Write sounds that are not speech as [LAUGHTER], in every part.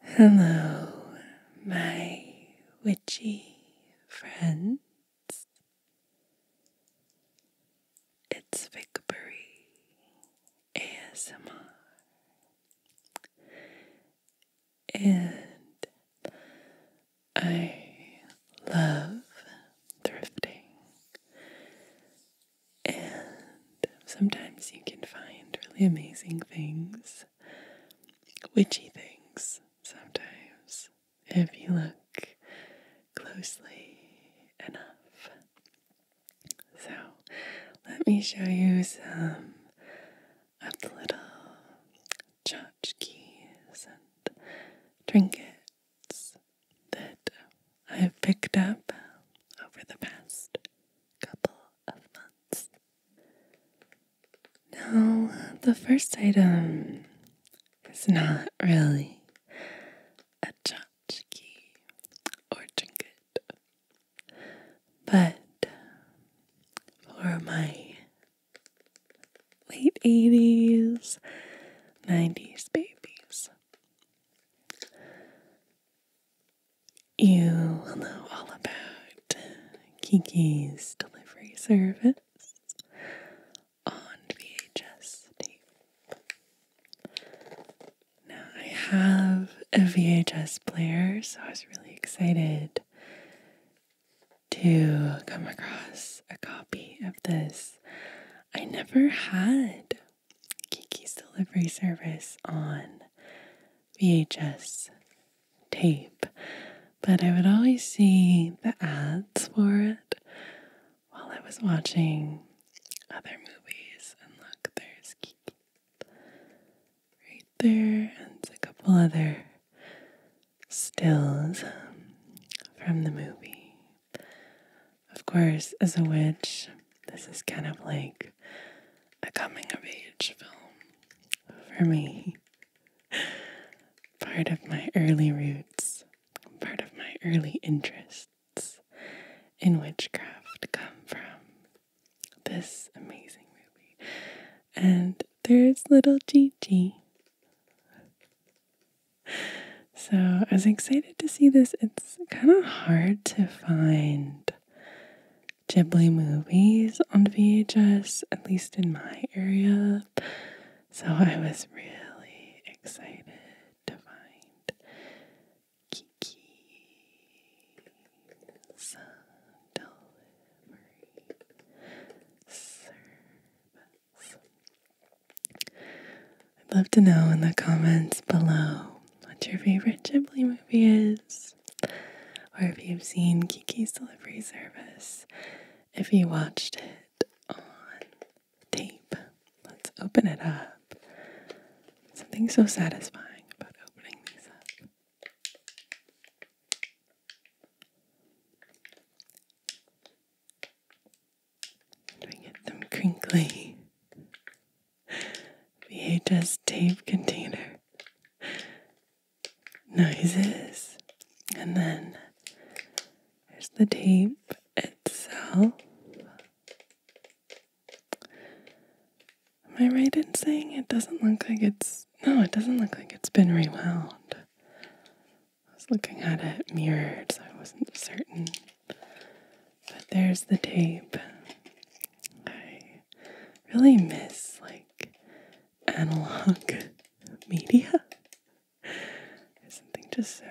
Hello, my witchy friends. It's Victory ASMR, and I love thrifting. And sometimes you can find really amazing things, witchy things, sometimes, if you look closely enough. So, let me show you some of the little tchotchkes and trinkets that I have picked up over the past couple of months. Now, the first item is not really a tchotchke or trinket, but for my late 80s, 90s babies. You will know all about Kiki's delivery service on VHS tape. Now, I have a VHS player, so I was really excited to come across a copy of this. I never had Kiki's delivery service on VHS tape, but I would always see the ads for it while I was watching other movies. And look, there's Kiki right there, and a couple other stills from the movie. Of course, as a witch, this is kind of like a coming of age film for me. Part of my early roots, part of my early interests in witchcraft come from this amazing movie. And there's little Gigi. So I was excited to see this. It's kind of hard to find Ghibli movies on VHS, at least in my area. So I was really excited to find Kiki Delivery Service. I'd love to know in the comments below what your favorite Ghibli movie is, or if you've seen Kiki's Delivery Service, if you watched it on tape. Let's open it up. Something so satisfying about opening these up. Do we get them crinkly? VHS tape container. Noises. And then there's the tape itself. Am I right in saying it doesn't look like it's. No, it doesn't look like it's been rewound. I was looking at it mirrored, so I wasn't certain. But there's the tape. I really miss like analog [LAUGHS] media. There's something just so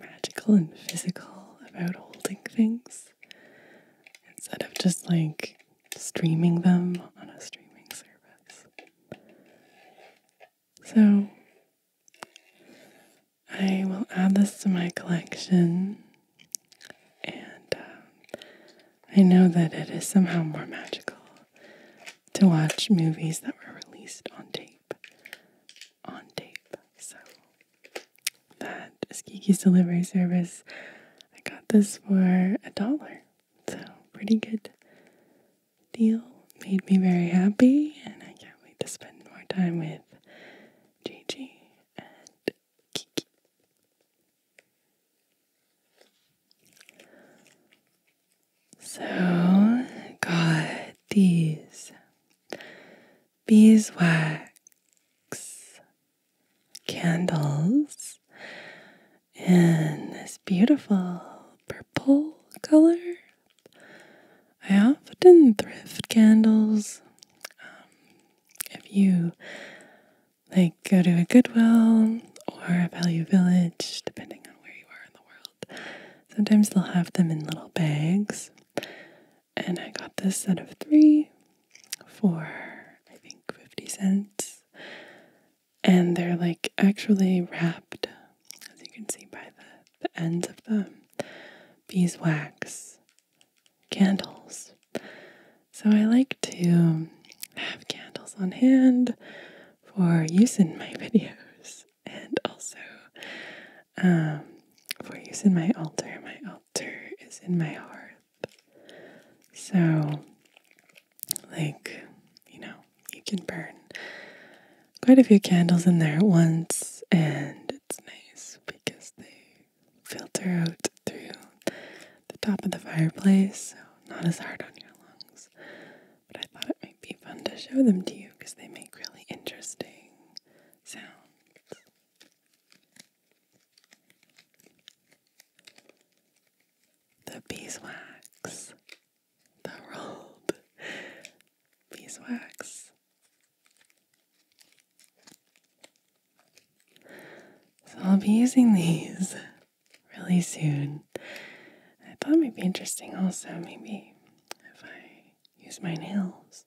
magical and physical about holding things instead of just like streaming them on a streaming service. So I will add this to my collection, and um, I know that it is somehow more magical to watch movies that were released on tape. On tape. So, that is Kiki's delivery service. I got this for a dollar, so pretty good deal. Made me very happy, and I can't wait to spend more time with Gigi, and Kiki. So, got these beeswax candles in this beautiful purple color I often thrift candles. Um, if you like, go to a Goodwill or a Value Village, depending on where you are in the world. Sometimes they'll have them in little bags. And I got this set of three for, I think, 50 cents. And they're like actually wrapped, as you can see by the, the ends of the beeswax candles. So I like to have candles on hand for use in my [LAUGHS] videos and also um, for use in my altar. My altar is in my heart. So, like, you know, you can burn quite a few candles in there at once and it's nice because they filter out through the top of the fireplace, so not as hard on your lungs. But I thought it might be fun to show them to you because they make really interesting sounds. The beeswax, the rolled beeswax so I'll be using these really soon. I thought might be interesting also, maybe if I use my nails.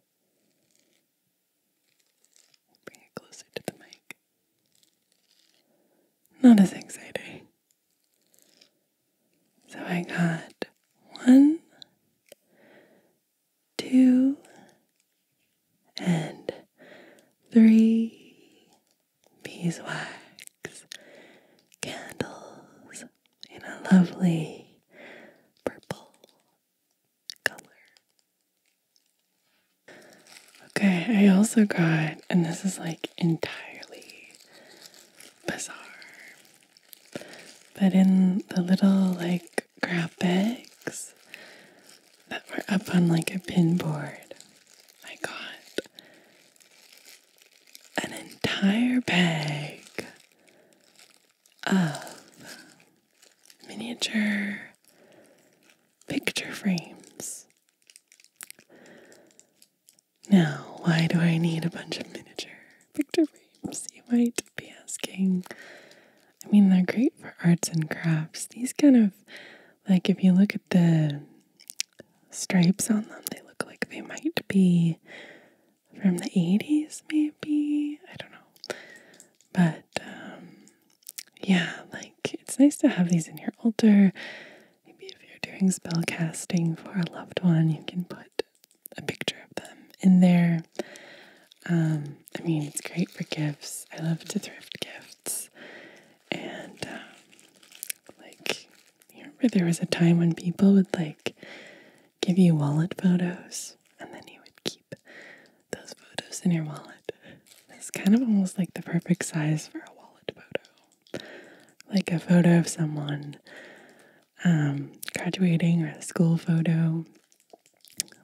Bring it closer to the mic. Not as exciting. So I got one two, and three beeswax candles in a lovely purple color. Okay, I also got, and this is like entirely bizarre, but in the little like grab bags that were up on like a pinboard, I got an entire bag of miniature picture frames. Now, why do I need a bunch of miniature Victor Reams, you might be asking. I mean, they're great for arts and crafts. These kind of, like, if you look at the stripes on them, they look like they might be from the 80s, maybe. I don't know. But, um, yeah, like, it's nice to have these in your altar. Maybe if you're doing spell casting for a loved one, you can put a picture of them in there. Um, I mean, it's great for gifts. I love to thrift gifts. And, um, like, remember there was a time when people would, like, give you wallet photos and then you would keep those photos in your wallet. It's kind of almost like the perfect size for a wallet photo. Like a photo of someone um, graduating or a school photo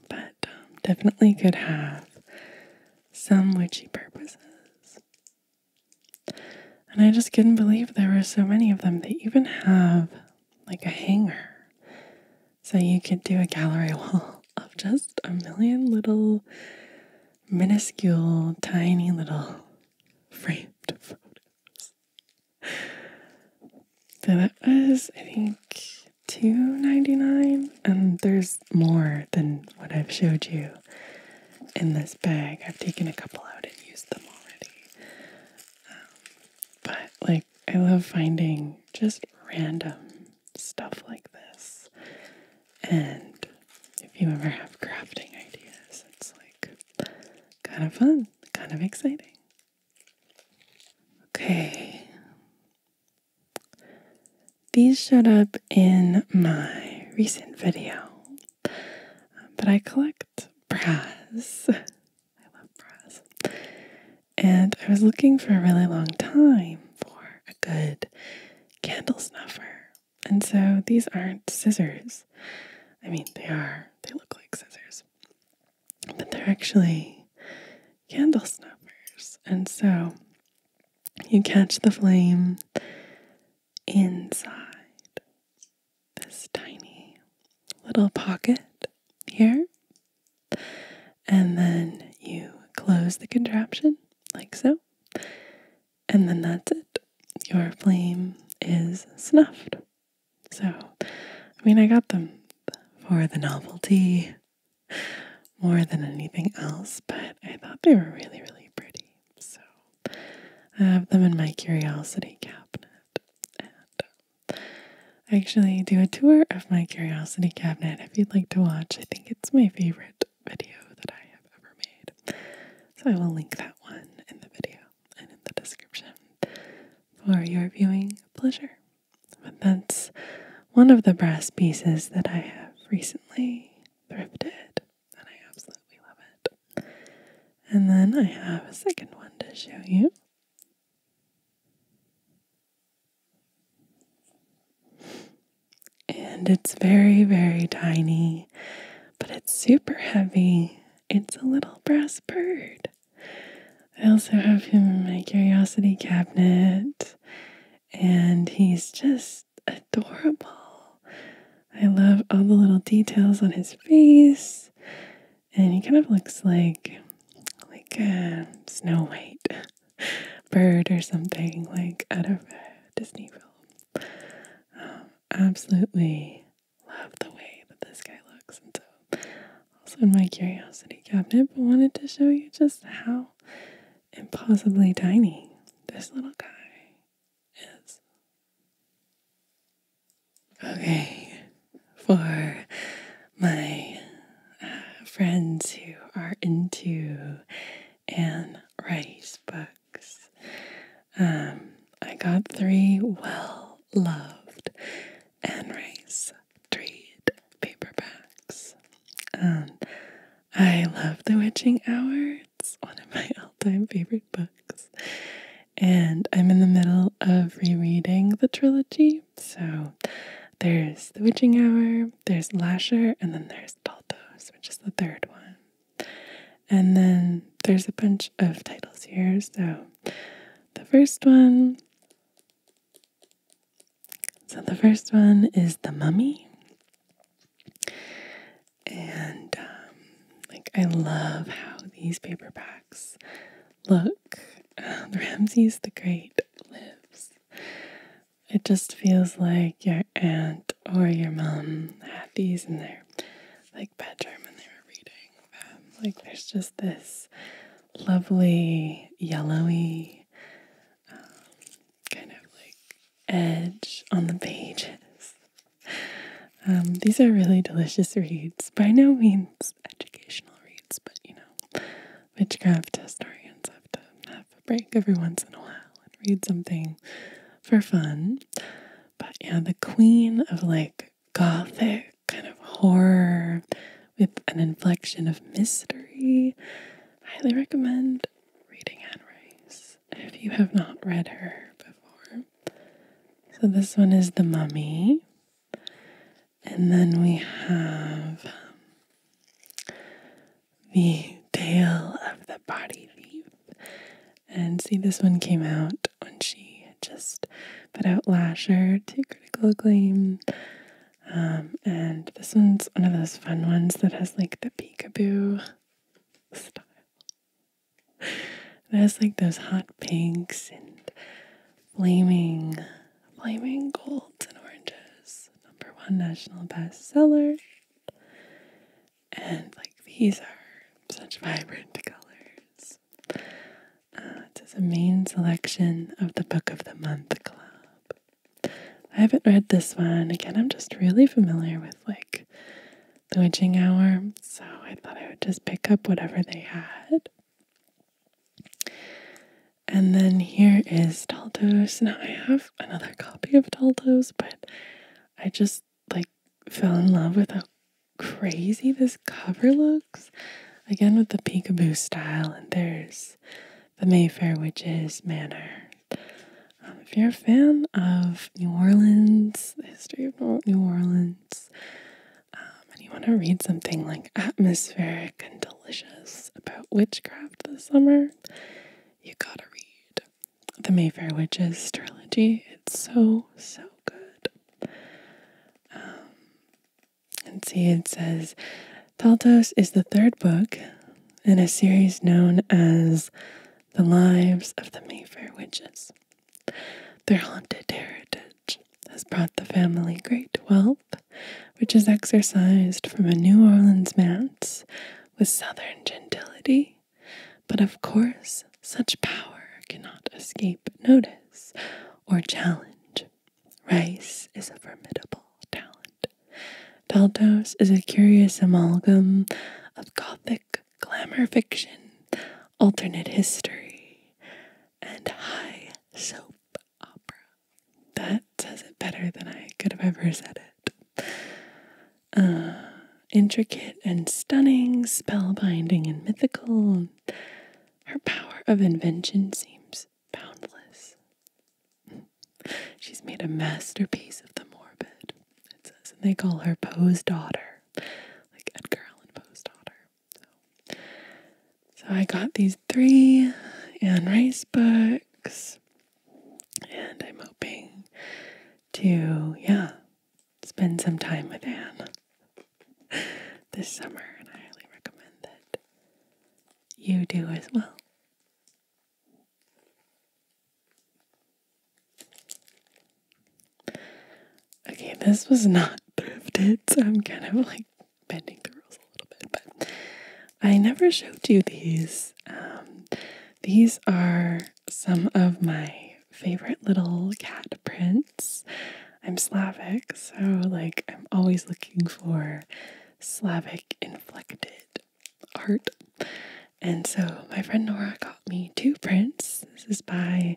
but um, definitely could have some witchy purposes. And I just couldn't believe there were so many of them. They even have like a hanger. So you could do a gallery [LAUGHS] wall of just a million little minuscule, tiny little framed [LAUGHS] photos. So that was, I think, two ninety nine. And there's more than what I've showed you in this bag. I've taken a couple out and used them already. Um, but, like, I love finding just random stuff like this. And if you ever have crafting ideas, it's like kind of fun, kind of exciting. Okay. These showed up in my recent video, but I collect brass. [LAUGHS] I love brass. And I was looking for a really long time for a good candle snuffer. And so these aren't scissors. I mean, they are, they look like scissors but they're actually candle snappers. And so you catch the flame inside this tiny little pocket here, and then you close the contraption like so, and then that's it. Your flame is snuffed. So, I mean, I got them for the novelty more than anything else, but I thought they were really, really pretty. So, I have them in my curiosity cabinet. And I um, actually do a tour of my curiosity cabinet if you'd like to watch. I think it's my favorite video that I have ever made. So, I will link that one in the video and in the description for your viewing pleasure. But that's one of the brass pieces that I have recently thrifted, and I absolutely love it. And then I have a second one to show you. And it's very, very tiny, but it's super heavy. It's a little brass bird. I also have him in my curiosity cabinet, and he's just adorable. I love all the little details on his face, and he kind of looks like like a Snow White [LAUGHS] bird or something, like out of a Disney film. Um, absolutely love the way that this guy looks. And so, also in my curiosity cabinet, but wanted to show you just how impossibly tiny this little guy is. Okay, for my uh, friends who are into Anne Rice books, um, I got three well loved and Rice trade paperbacks. Um, I love The Witching Hour. It's one of my [LAUGHS] all-time favorite books. And I'm in the middle of rereading the trilogy. So there's The Witching Hour, there's Lasher, and then there's Balthos, which is the third one. And then there's a bunch of titles here. So the first one so the first one is The Mummy. And um, like I love how these paperbacks look. Uh, Ramses the Great lives. It just feels like your aunt or your mom had these in their like bedroom when they were reading. Like there's just this lovely yellowy um, kind of like edge on the pages. Um, these are really delicious reads. By no means educational reads, but you know, witchcraft historians have to have a break every once in a while and read something for fun. But yeah, the queen of like gothic kind of horror with an inflection of mystery. highly recommend reading Anne Rice if you have not read her before. So this one is The Mummy. And then we have um, The Tale of the Body Thief. And see, this one came out when she just put out Lasher to critical acclaim. Um, and this one's one of those fun ones that has like the peekaboo style. It has like those hot pinks and flaming, flaming golds and oranges. Number one national bestseller. And like these are such vibrant colors. Uh, this is a main selection of the Book of the Month Club. I haven't read this one. Again, I'm just really familiar with like the witching hour, so I thought I would just pick up whatever they had. And then here is Taldos. Now I have another copy of Taldos, but I just like fell in love with it crazy this cover looks. Again, with the peekaboo style, and there's the Mayfair Witches Manor. Um, if you're a fan of New Orleans, the history of New Orleans, um, and you want to read something like atmospheric and delicious about witchcraft this summer, you gotta read the Mayfair Witches trilogy. It's so, so good. Um, and see, it says Taltos is the third book in a series known as The Lives of the Mayfair Witches. Their haunted heritage has brought the family great wealth, which is exercised from a New Orleans manse with southern gentility. But of course, such power cannot escape notice or challenge. Rice is a formidable talent. Daltos is a curious amalgam of gothic glamour fiction, alternate history, and high soap opera. That says it better than I could have ever said it. Uh, intricate and stunning, spellbinding and mythical. Her power of invention seems boundless. She's made a masterpiece of the morbid, it says, and they call her Poe's daughter, like Edgar Allan Poe's daughter. So, so I got these three Anne Rice books, and I'm hoping to, yeah, spend some time with Anne. [LAUGHS] this summer, and I highly recommend that you do as well. Okay, this was not [LAUGHS] thrifted, so I'm kind of like bending the rules a little bit, but I never showed you these. Um, these are some of my favorite little cat prints. I'm Slavic, so like I'm always looking for Slavic inflected art. And so my friend Nora got me two prints. This is by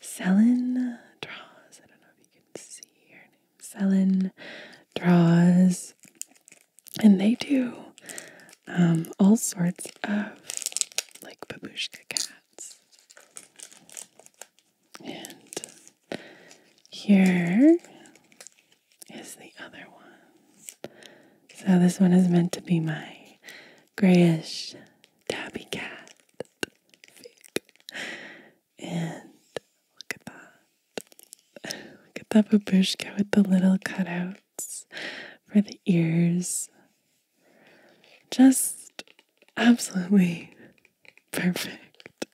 Selin Draws. I don't know if you can see her name. Selin Draws. And they do um, all sorts of like babushka cats. And here is the other one. So this one is meant to be my grayish tabby cat. And look at that. Look at that babushka with the little cutouts for the ears. Just absolutely perfect.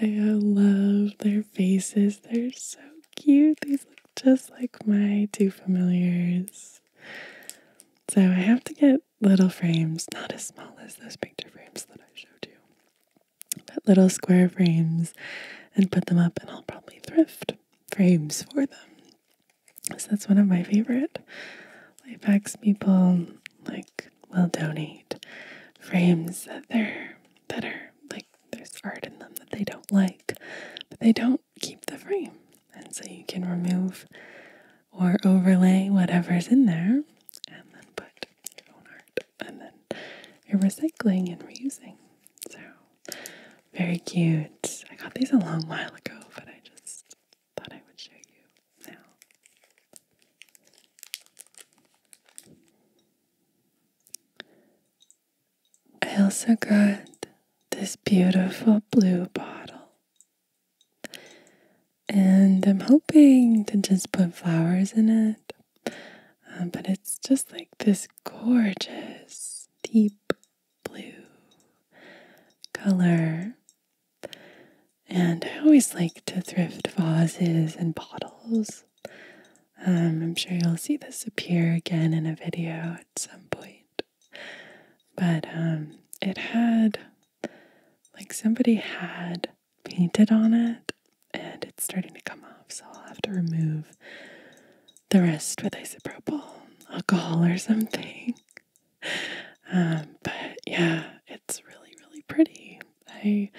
I love their faces. They're so cute. These look just like my two familiars. So I have to get little frames, not as small as those picture frames that I showed you, but little square frames and put them up, and I'll probably thrift frames for them. So that's one of my favorite Life hacks. people like will donate frames that they're that are like there's art in them that they don't like, but they don't keep the frame. And so you can remove or overlay whatever's in there and then put your own art and then you're recycling and reusing. So very cute. I got these a long while ago, but I just thought I would show you now. I also got this beautiful blue bottle. And I'm hoping to just put flowers in it. Um, but it's just like this gorgeous, deep blue color. And I always like to thrift vases and bottles. Um, I'm sure you'll see this appear again in a video at some point. But um, it had, like, somebody had painted on it and it's starting to come off, so I'll have to remove the rest with isopropyl alcohol or something. Um, but yeah, it's really, really pretty. I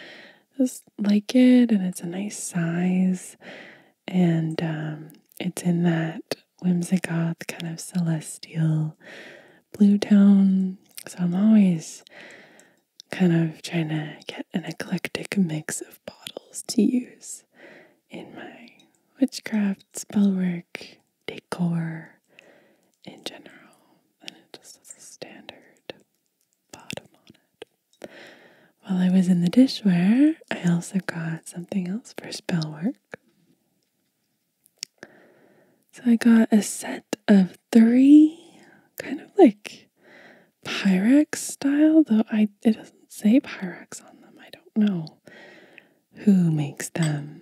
just like it, and it's a nice size, and um, it's in that whimsicoth kind of celestial blue tone. So I'm always kind of trying to get an eclectic mix of bottles to use in my witchcraft, spellwork, decor in general, and it just has a standard bottom on it. While I was in the dishware, I also got something else for spell work. So I got a set of three, kind of like Pyrex style, though I it doesn't say Pyrex on them. I don't know who makes them.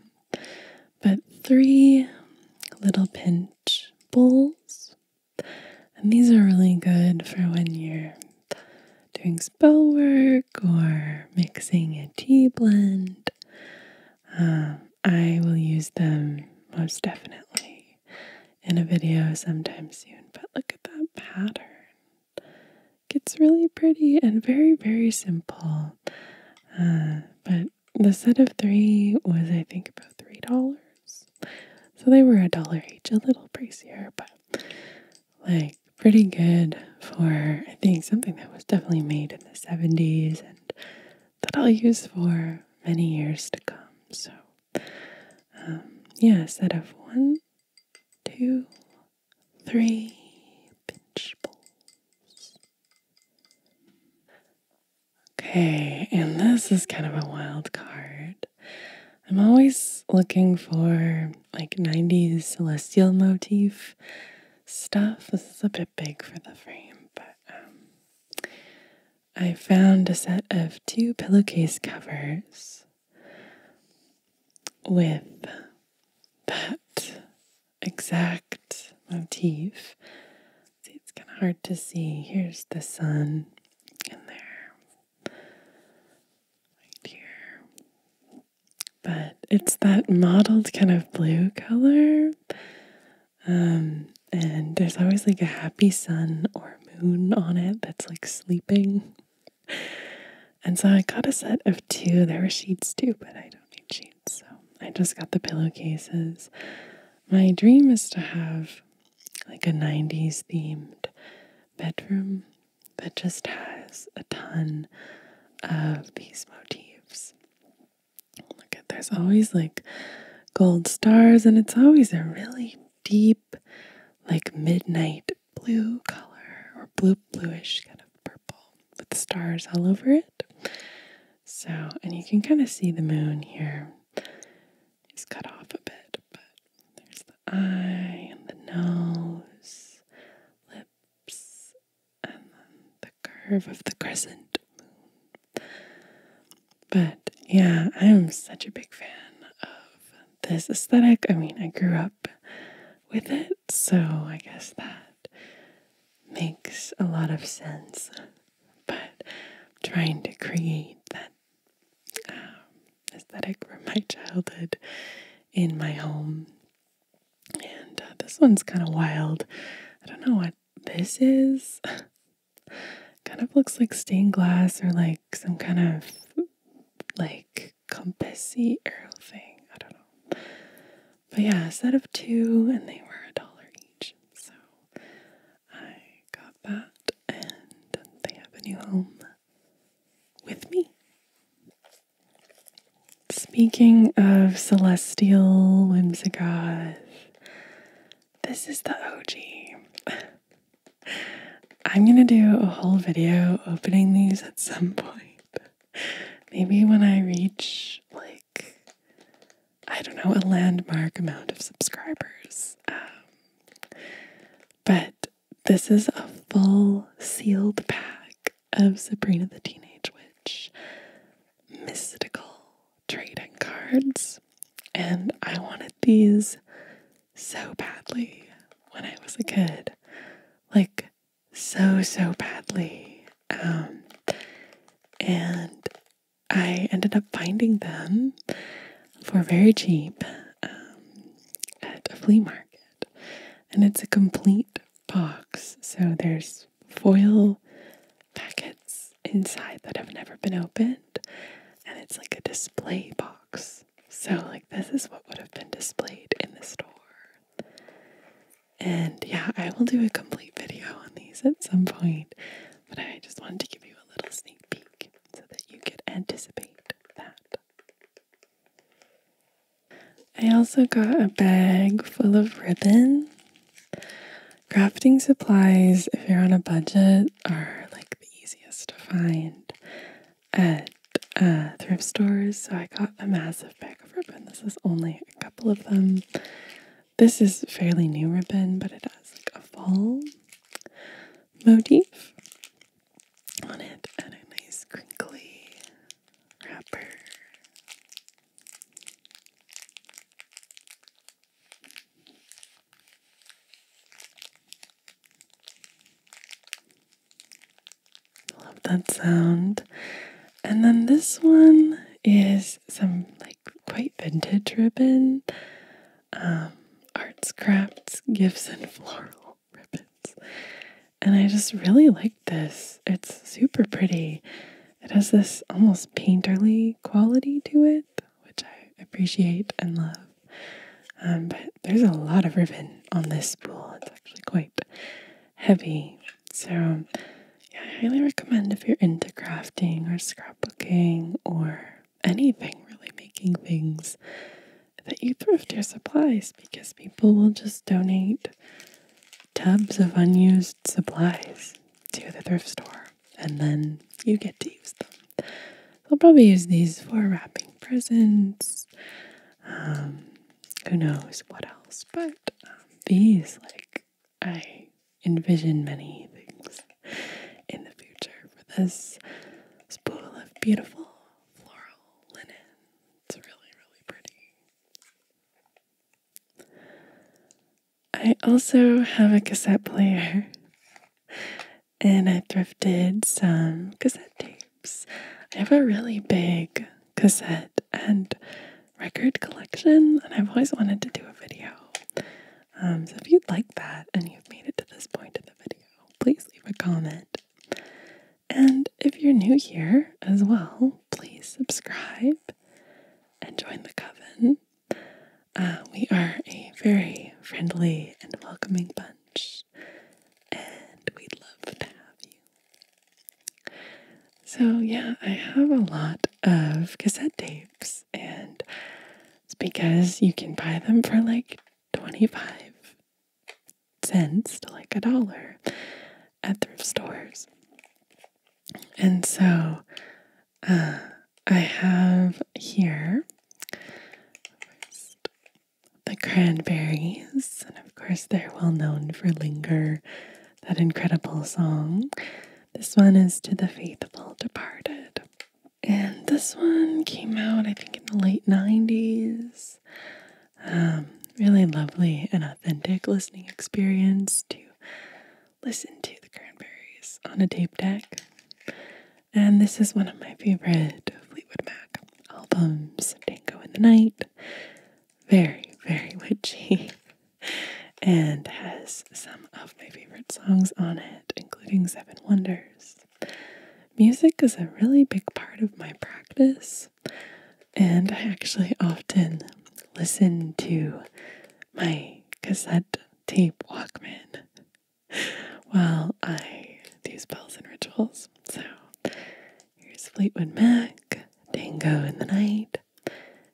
But three little pinch bowls. And these are really good for when you're doing spell work or mixing a tea blend. Um, I will use them most definitely in a video sometime soon. But look at that pattern gets really pretty and very, very simple. Uh, but the set of three was, I think, about three dollars. So they were a dollar each, a little pricier, but like pretty good for I think something that was definitely made in the 70s and that I'll use for many years to come. So, um, yeah, a set of one, two, three pinch bowls. Okay, and this is kind of a wild card. I'm always looking for like 90s celestial motif stuff. This is a bit big for the frame, but um, I found a set of two pillowcase covers with that exact motif. See, it's kind of hard to see. Here's the sun in there, right here. But it's that mottled kind of blue color. Um, and there's always like a happy sun or moon on it that's like sleeping. And so I got a set of two. There were sheets too, but I don't need sheets. So I just got the pillowcases. My dream is to have like a 90s themed bedroom that just has a ton of these motifs. Look at there's always like gold stars, and it's always a really deep, like midnight blue color or blue bluish kind of purple with the stars all over it. So, and you can kind of see the moon here. It's cut off a bit, but there's the eye and the nose, lips, and then the curve of the crescent But yeah, I'm such a big fan of this aesthetic. I mean, I grew up with it so I guess that makes a lot of sense. But trying to create that um, aesthetic from my childhood in my home. And uh, this one's kind of wild. I don't know what this is. [LAUGHS] kind of looks like stained glass or like some kind of like compassi arrow thing. I don't know. But yeah, a set of two, and they were a dollar each. So I got that, and they have a new home with me. Speaking of Celestial Whimsigoth, this is the OG. [LAUGHS] I'm gonna do a whole video opening these at some point. Maybe when I reach, like, I don't know, a landmark amount of subscribers. Um, but this is a full sealed pack of Sabrina the Teenage Witch mystical trading cards. And I wanted these so badly when I was a kid. Like, so, so badly. Um, and I ended up finding them for very cheap um, at a flea market. And it's a complete box. So there's foil packets inside that have never been opened. And it's like a display box. So, like, this is what would have been displayed in the store. And yeah, I will do a complete video on these at some point, but I just wanted to give you a little sneak peek so that you could anticipate that. I also got a bag full of ribbon. Crafting supplies, if you're on a budget, are like the easiest to find at uh, thrift stores, so I got a massive bag of ribbon. This is only a couple of them. This is fairly new ribbon, but it has like a fall motif on it and a nice crinkly wrapper love that sound. And then this one is some like quite vintage ribbon, um, arts, crafts, gifts, and floral ribbons. And I just really like this. It's super pretty. It has this almost painterly quality to it, which I appreciate and love. Um, but there's a lot of ribbon on this spool. It's actually quite heavy. So, yeah, I highly recommend if you're into crafting or scrapbooking or anything really making things that you thrift your supplies because people will just donate tubs of unused supplies to the thrift store and then you get to use them. i will probably use these for wrapping presents. Um, who knows what else? But these, like, I envision many things in the future for this spool of beautiful floral linen. It's really, really pretty. I also have a cassette player and I thrifted some cassette tape. I have a really big cassette and record collection, and I've always wanted to do a video. Um, so if you'd like that and you've made it to this point in the video, please leave a comment. And if you're new here as well, please subscribe and join the coven. Uh, we are a very friendly and welcoming bunch, and we'd love to have you. So, yeah, I have a lot of cassette tapes, and it's because you can buy them for like 25 cents to like a dollar at thrift stores. And so, uh, I have here the cranberries, of course, they're well known for Linger, that incredible song. This one is To the Faithful Departed. And this one came out, I think, in the late 90s. Um, really lovely and authentic listening experience to listen to the Cranberries on a tape deck. And this is one of my favorite Fleetwood Mac albums, "Dango in the Night very, very witchy [LAUGHS] and has some of my favorite songs on it, including Seven Wonders. Music is a really big part of my practice, and I actually often listen to my cassette tape Walkman [LAUGHS] while I do spells and rituals. So Here's Fleetwood Mac, Dango in the Night,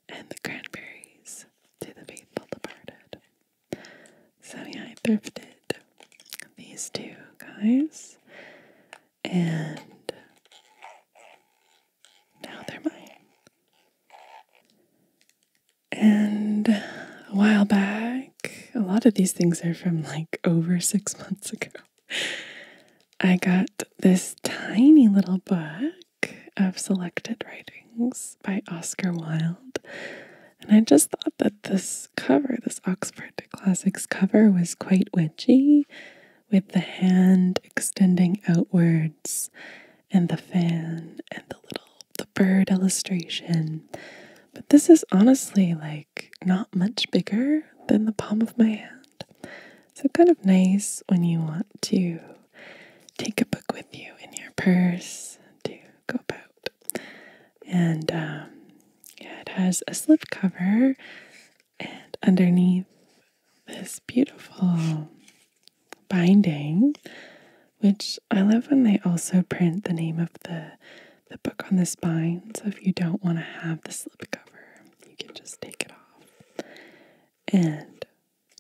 and the Cranberries to the Faithful Departed. So, yeah, I thrifted these two guys, and now they're mine. And a while back, a lot of these things are from like over six [LAUGHS] months ago. I got this tiny little book of selected writings by Oscar Wilde. And I just thought that this cover, this Oxford Classics cover, was quite witchy with the hand extending outwards and the fan and the little the bird illustration. But this is honestly like not much bigger than the palm of my hand. So, kind of nice when you want to take a book with you in your purse to go about. And um, yeah, it has a slip cover, and underneath this beautiful binding, which I love when they also print the name of the the book on the spine. So if you don't want to have the slip cover you can just take it off and,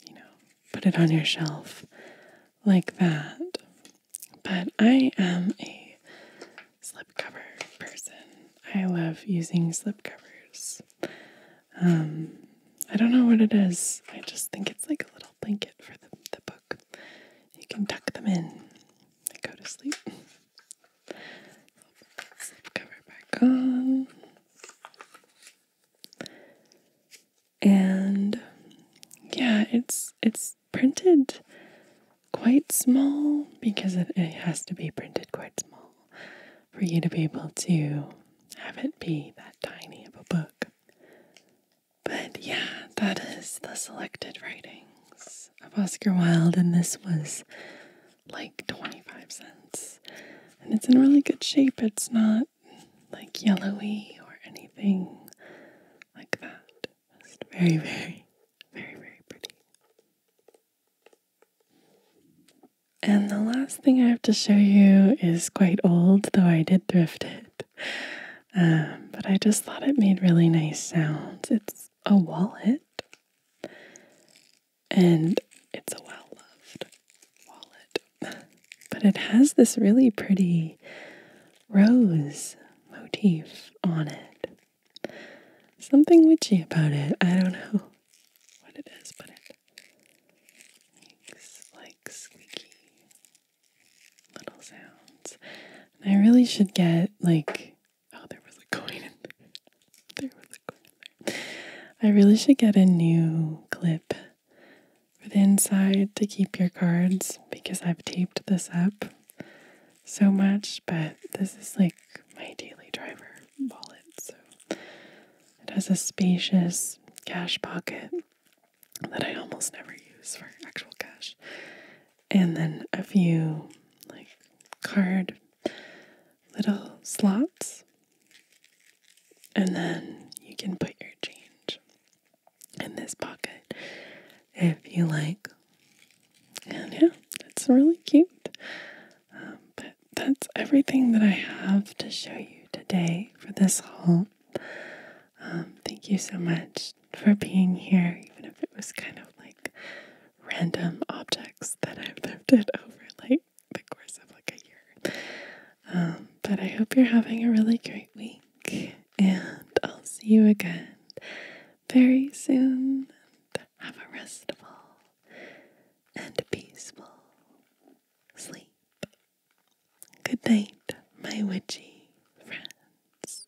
you know, put it on your shelf like that. But I am a slipcover person. I love using slipcovers. Um, I don't know what it is. I just think it's like a little blanket for the, the book. You can tuck them in and go to sleep cover back on. And yeah, it's it's printed quite small because it has to be printed quite small for you to be able to have it be that tiny of a book. But yeah, that is the selected writings of Oscar Wilde, and this was like 25 cents. And it's in really good shape. It's not like yellowy or anything like that. Just very, very, very, very pretty. And the last thing I have to show you is quite old, though I did thrift it. Um, but I just thought it made really nice sounds. It's a wallet and it's a well loved wallet. But it has this really pretty rose motif on it. Something witchy about it. I don't know what it is, but it makes like squeaky little sounds. I really should get like Oh, there was a coin in there. There was a coin in there. I really should get a new clip for the inside to keep your cards because I've taped this up so much, but this is like my daily driver wallet. So it has a spacious cash pocket that I almost never use for actual cash. And then a few like card little slots, and then you can put your change in this pocket if you like. And yeah, it's really cute. Um, but that's everything that I have to show you today for this haul. Um, thank you so much for being here, even if it was kind of like random objects that I've lifted over like the course of like a year. Um, but I hope you're having a really great week, and I'll see you again very soon. And have a restful and peaceful sleep. Good night, my witchy friends.